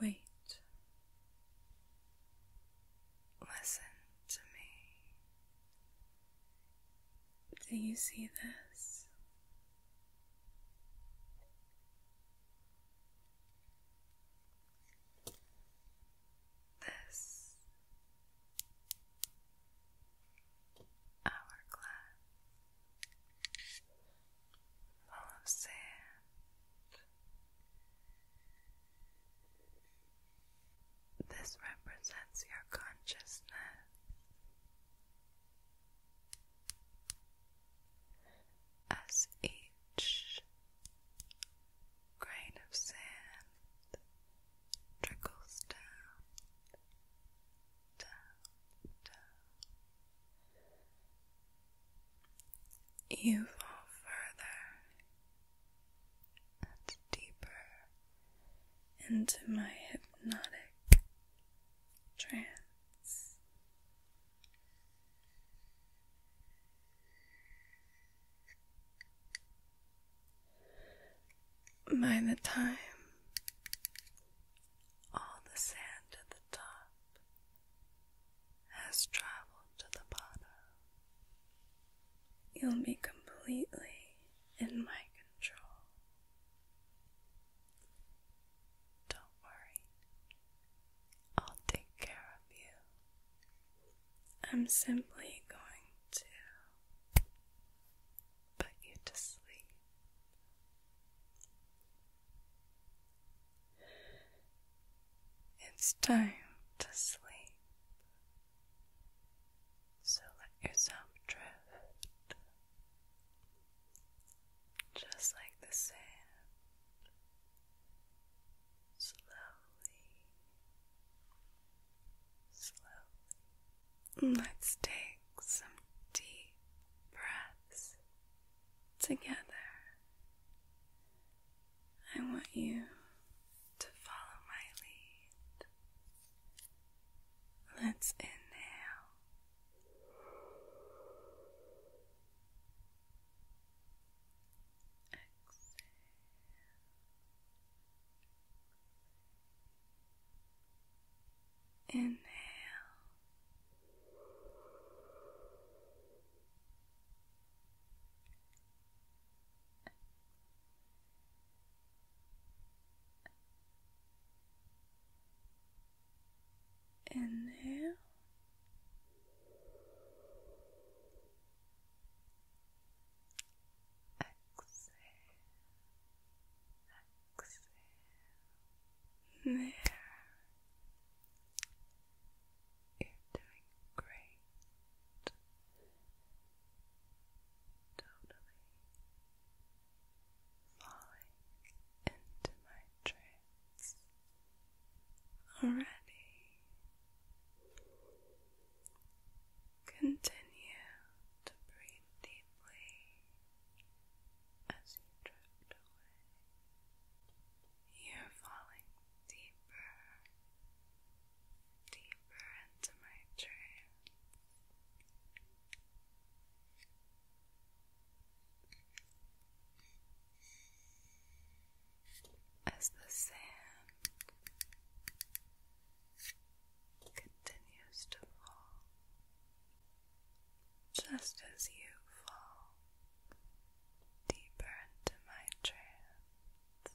Wait. Listen to me. Do you see this? This hourglass full of sand. This represents your consciousness. As each grain of sand trickles down, down, down, you fall further deeper into my hypnotic trance. By the time all the sand at the top has traveled to the bottom. You'll be completely in my control. Don't worry, I'll take care of you. I'm simply going to put you to sleep. It's time to sleep. So let yourself drift just like the sand slowly, slowly. Let's take some deep breaths together. I want you to follow my lead. Let's inhale. Exhale. Inhale Inhale. Exhale. Exhale. There. You're doing great. Totally falling into my trance already. Continue to breathe deeply as you drift away. You're falling deeper, deeper into my trance. As the sand continues to fall, just as you fall deeper into my trance.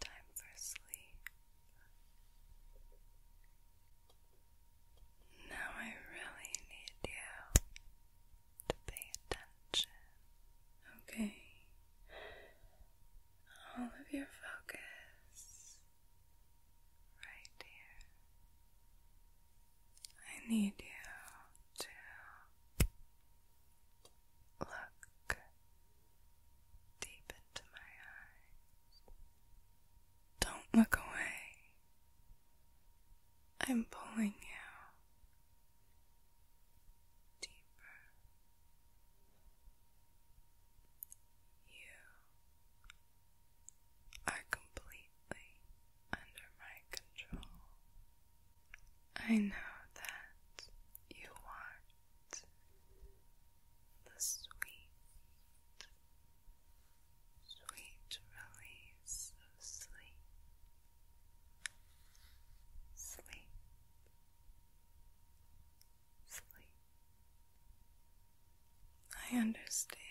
Time for sleep. Now I really need you to pay attention. Okay, all of your focus right here. I need you to look deep into my eyes. Don't look away. I'm pulling you deeper. You are completely under my control. I know that you want the sweet, sweet release of sleep. Sleep Sleep. I understand.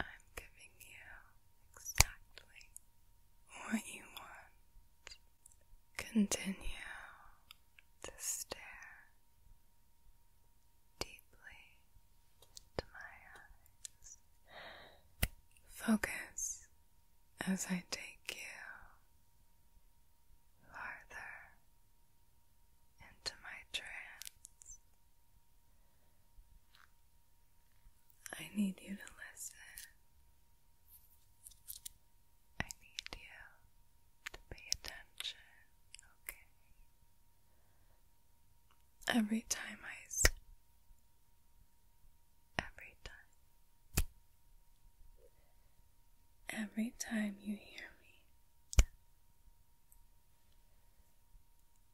I'm giving you exactly what you want. Continue to stare deeply into my eyes. Focus as I take you farther into my trance. I need you to listen. I need you to pay attention, okay? Every time I Every time. Every time you hear me,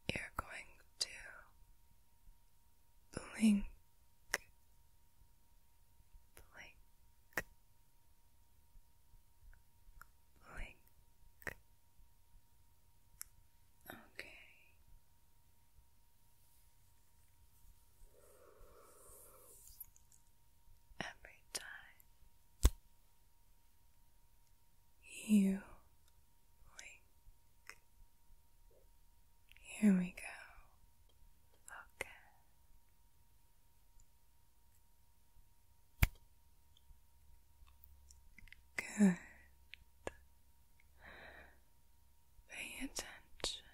you're going to blink, blink, blink. Okay. Every time you blink. Here we go. Okay. Good. Pay attention.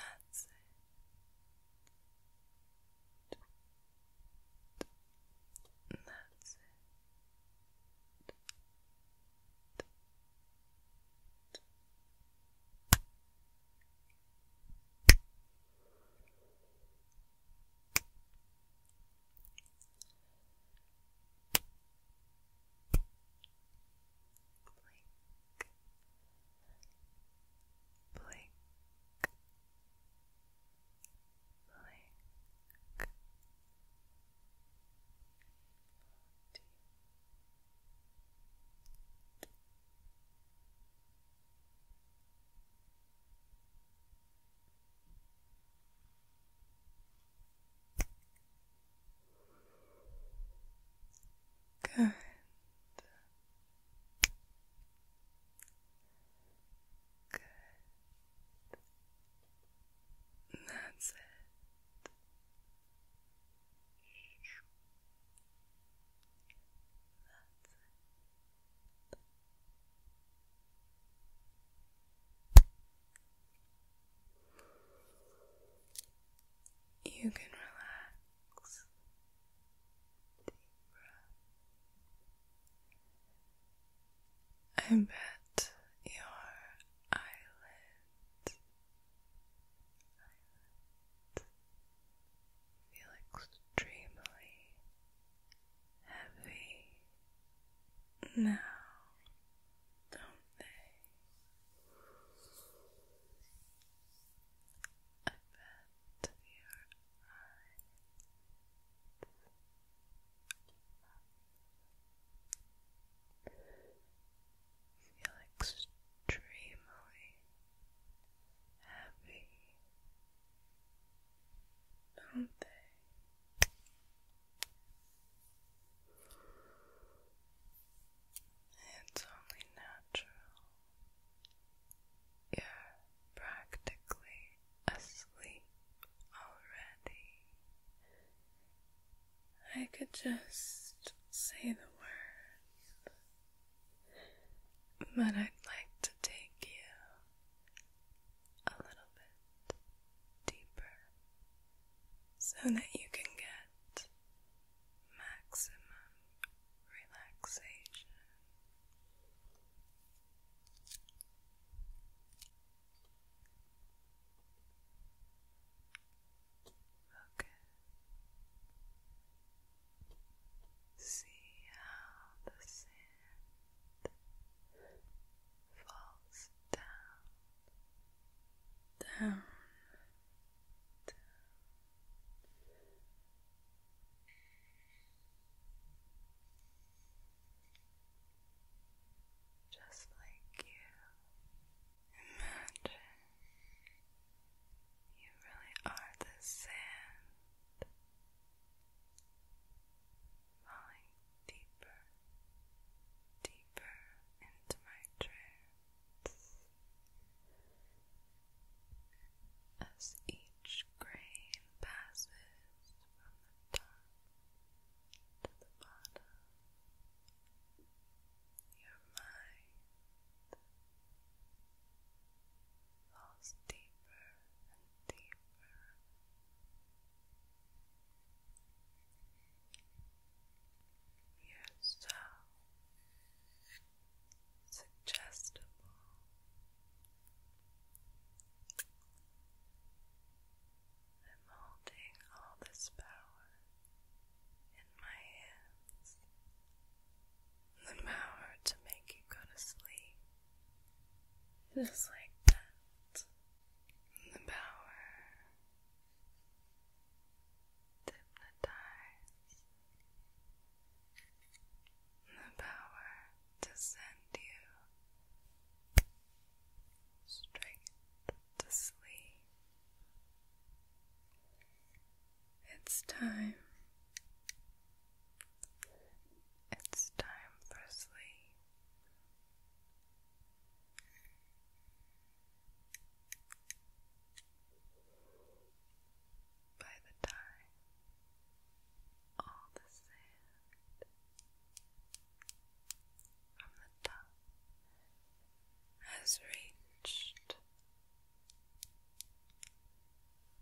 That's it. That's it blink, blink, deep Good. Good. That's it it. You can relax. I bet your eyelids feel extremely heavy now, don't they? I bet your eyes Feel extremely happy, don't they? It's only natural. You're practically asleep already. I could just say the word, but I'd like to take you a little bit deeper so that you can get maximum relaxation. Okay. See how the sand falls down, down, down. Just like you Imagine you really are the sand falling deeper, deeper into my trance as each grain passes from the top to the bottom your mind falls deeper and deeper. You're so suggestible. i all this power in my hands, the power to make you go to sleep. Just like that, the power hypnotize, the power to send you straight to sleep. It's time. It's time for sleep. By the time all the sand from the top has reached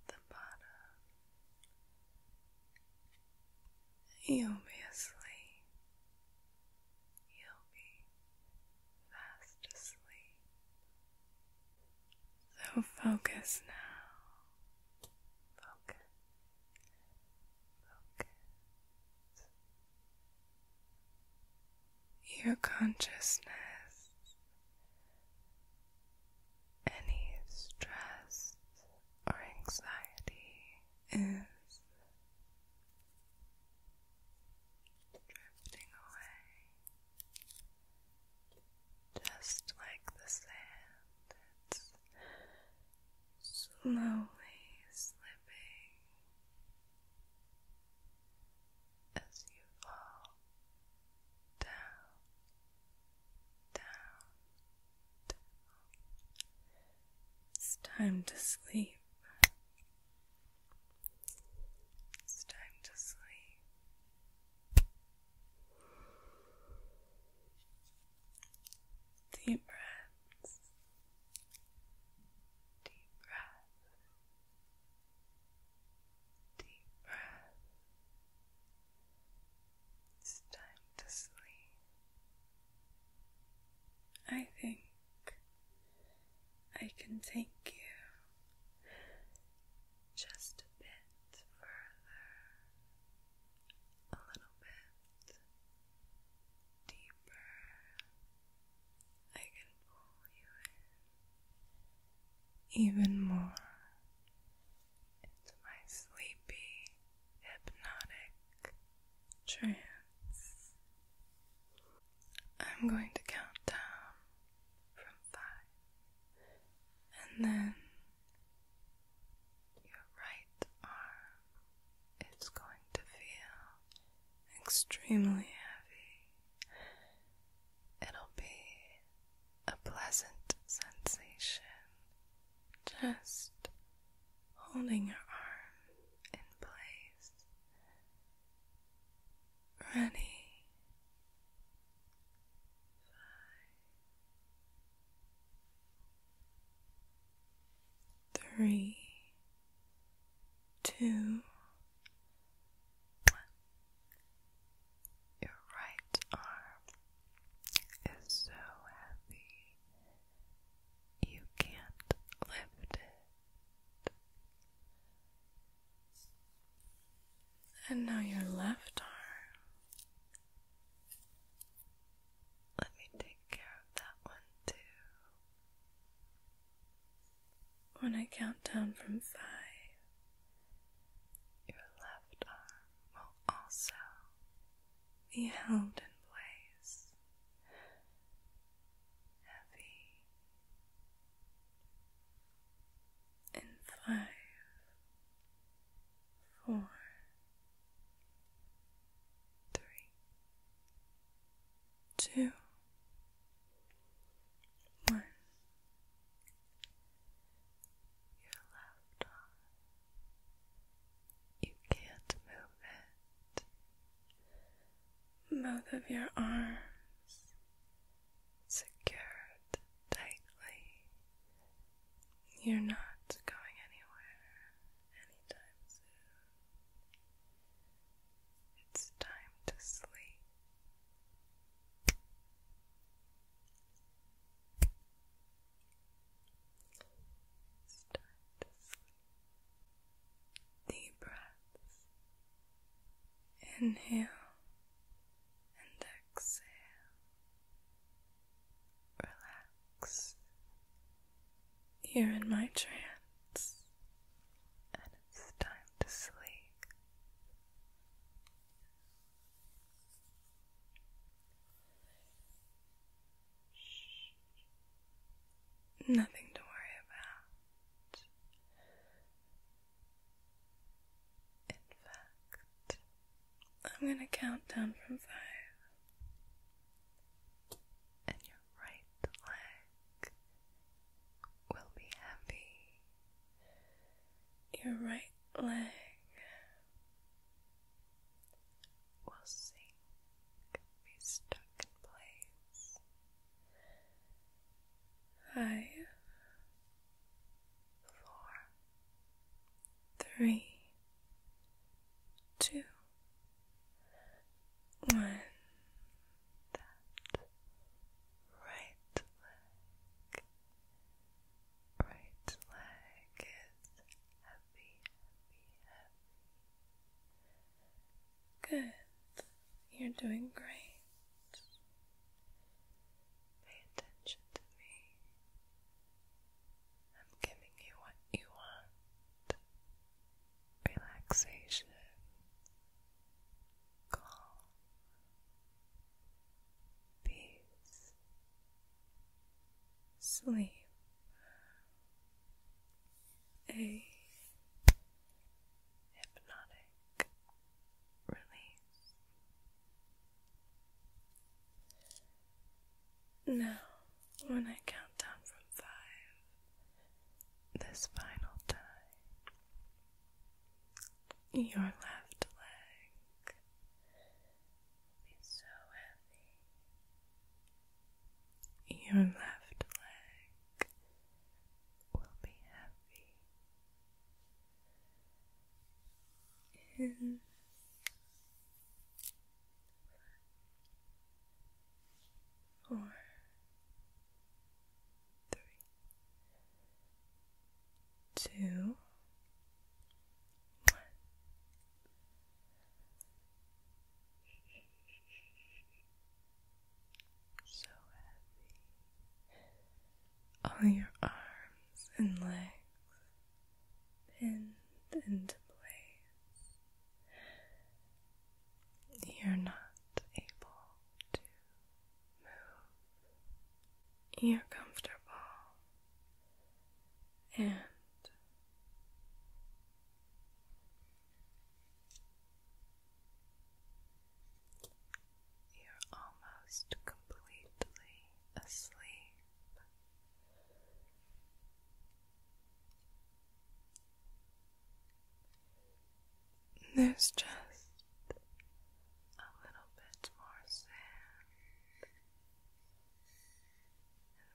the bottom. you You'll be fast asleep. So focus now. Focus. Focus your consciousness any stress or anxiety is drifting away just like the sand slowly slipping as you fall down, down, down. It's time to sleep. It's time to sleep. Deep breaths. Deep breaths. Deep breath. It's time to sleep. I think I can take you just a bit further, a little bit deeper. I can pull you in even more into my sleepy, hypnotic trance. I'm going to count down from five, and then your right arm is going to feel extremely heavy. It'll be a pleasant sensation just holding your arm in place. Ready. Five, three two, Your right arm is so heavy you can't lift it. And now your left arm. Let me take care of that one too. When I count down from five, your left arm will also be held in place, heavy. In five, four, three, two, one. Your left arm. You can't move it. Both of your arms secured tightly. You're not going anywhere anytime soon. It's time to sleep. Deep breaths. Inhale and exhale. Relax. You're in my trance, and it's time to sleep. Nothing to worry about. In fact, I'm going to count down from five, and your right leg will be happy. Your right leg will sink, be stuck in place. Five, four, three, two, one that right leg. Right leg is heavy, heavy, heavy. Good. You're doing great. Pay attention to me. I'm giving you what you want relaxation, calm, peace, sleep, a hypnotic release. Now, when I count down from five, this final time, your left leg be so heavy. Your left leg will be heavy. In Four, three, two, one. So heavy. All your arms and legs pinned into place. You're not able to you're comfortable and you're almost completely asleep. There's just a little bit more sand in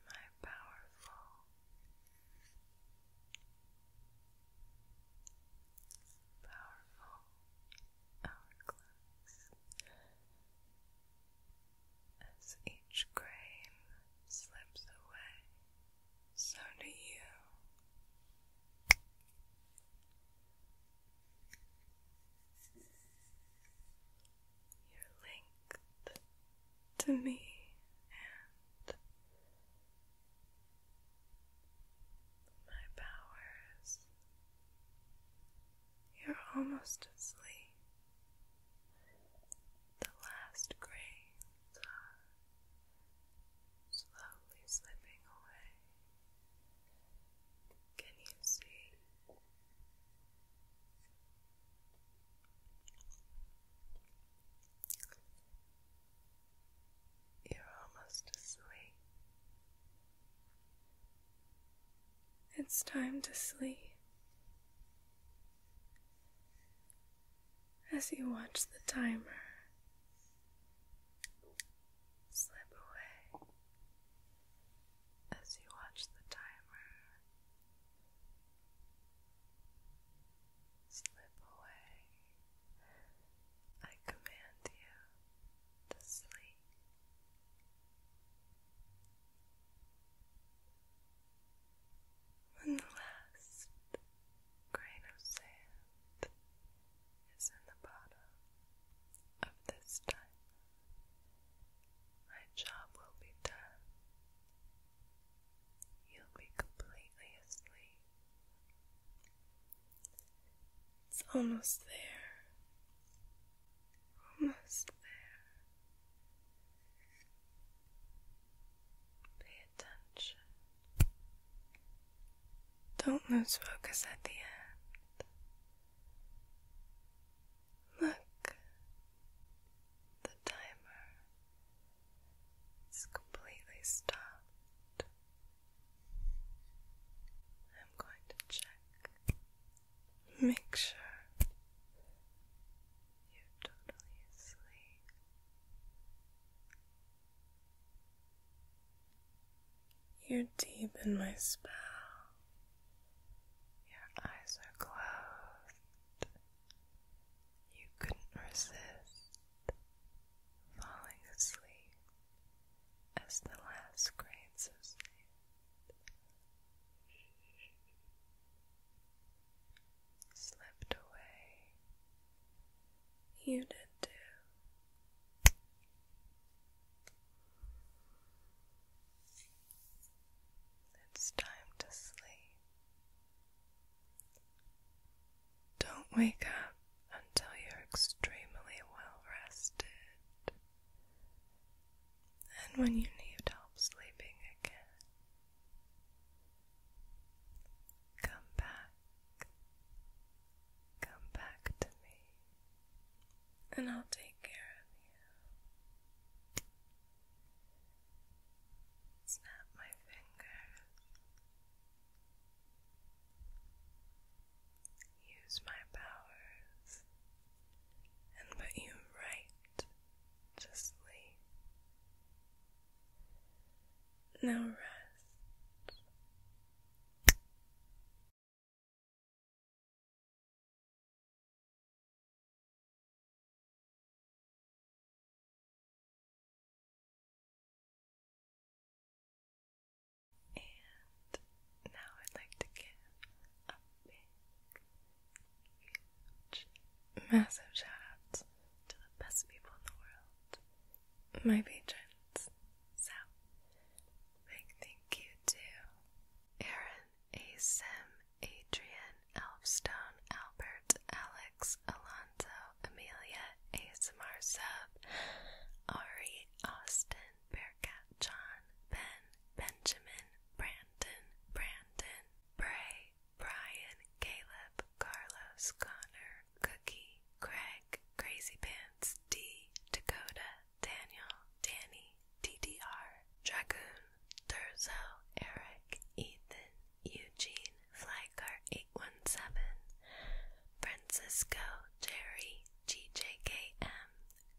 my powerful powerful hourglass as each grain slips away so do you you're linked to me and my powers. You're almost asleep. The last grains are slowly slipping away. Can you see? You're almost asleep. It's time to sleep. As you watch the timer slip away as you watch the timer slip away. I command you to sleep. When the last grain of sand is in the bottom of this time. My job will be done. You'll be completely asleep. It's almost there. Almost there. Pay attention. Don't lose focus at the end. Look, the timer is completely stopped. I'm going to check. Make sure you're totally asleep. You're deep in my spell. Your eyes are closed. You couldn't resist falling asleep as the last grains of sand slipped away. You did too. It's time to sleep. Don't wake up until you're extremely well rested. And when you need help sleeping again, come back. Come back to me, and I'll take care of you. Snap my fingers. Use my powers and put you right to sleep. Now rest and now I'd like to give a big, huge, massive shout out to the best people in the world my patrons. So, big thank you to Aaron, Asim, Adrian, Elfstone, Albert, Alex, Alonso, Amelia, ASMR Ari, Austin, Bearcat, John, Ben, Benjamin, Brandon, Brandon, Bray, Brian, Caleb, Carlos, Connor, Cookie, Craig, Crazy Pants, D, Dakota, Daniel, Danny, DDR, Dragoon, Durzo, Eric, Ethan, Eugene, Flycar 817, Francisco, Jerry, GJKM,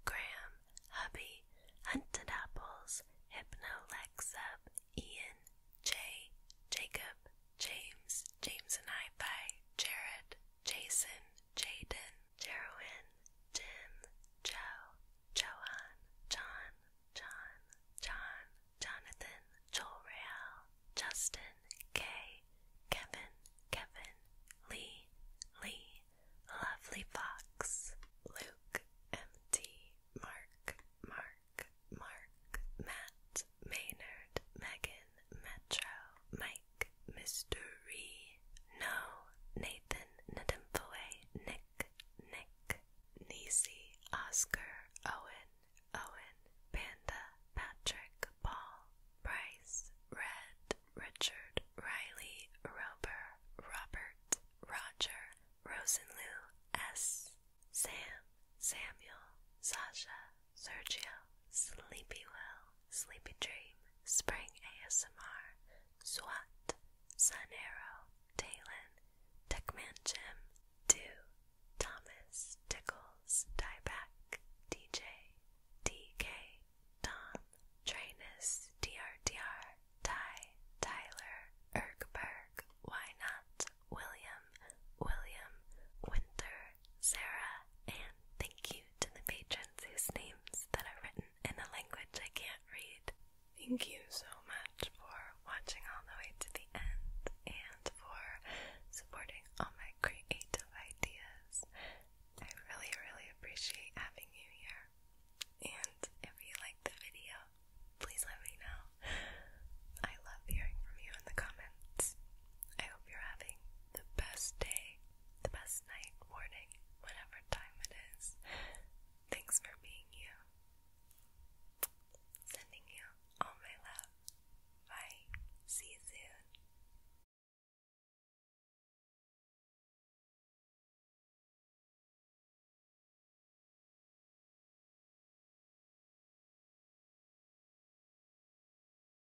Graham, Hubby, Hunted Apples, Hypnolexa, Ian, Jay, Jacob, James, James and I by Jared, Jason, Jaden, Jerwin, Jim, Joe, Johan, John, John, John, Jonathan, Joel, Justin, Kay, Kevin, Kevin, Lee, Lee, Lovely Fox, Luke, MT, Mark, Mark, Mark, Matt, Matt, Maynard, Megan, Metro, Mike, Mystery, No, Nathan, Nedimfoe, Nick, Nick, Nisi, Oscar, Owen, Owen, Panda, Patrick, Paul, Bryce, Red, Richard, Riley, Rober, Robert, Roger, Rosenloo, S, Sam, Samuel, Sasha, Sergio, Sleepy Will, Sleepy Dream, Spring ASMR, SWAT, Sun Arrow, Talon, Techman Jim, Do, Thomas, Tickles, Dieback, DJ, DK, Tom, Trainus, DRDR, Ty, Tyler, Ergberg, Why Not, William, William, Winter, Sarah, and thank you to the patrons whose names that are written in a language I can't read. Thank you so much for watching all the way to the end and for supporting all my creative ideas. I really, really appreciate having you here. And if you like the video, please let me know. I love hearing from you in the comments. I hope you're having the best day the best night, morning, whatever time it is. Thanks for being you. Sending you all my love. Bye. See you soon.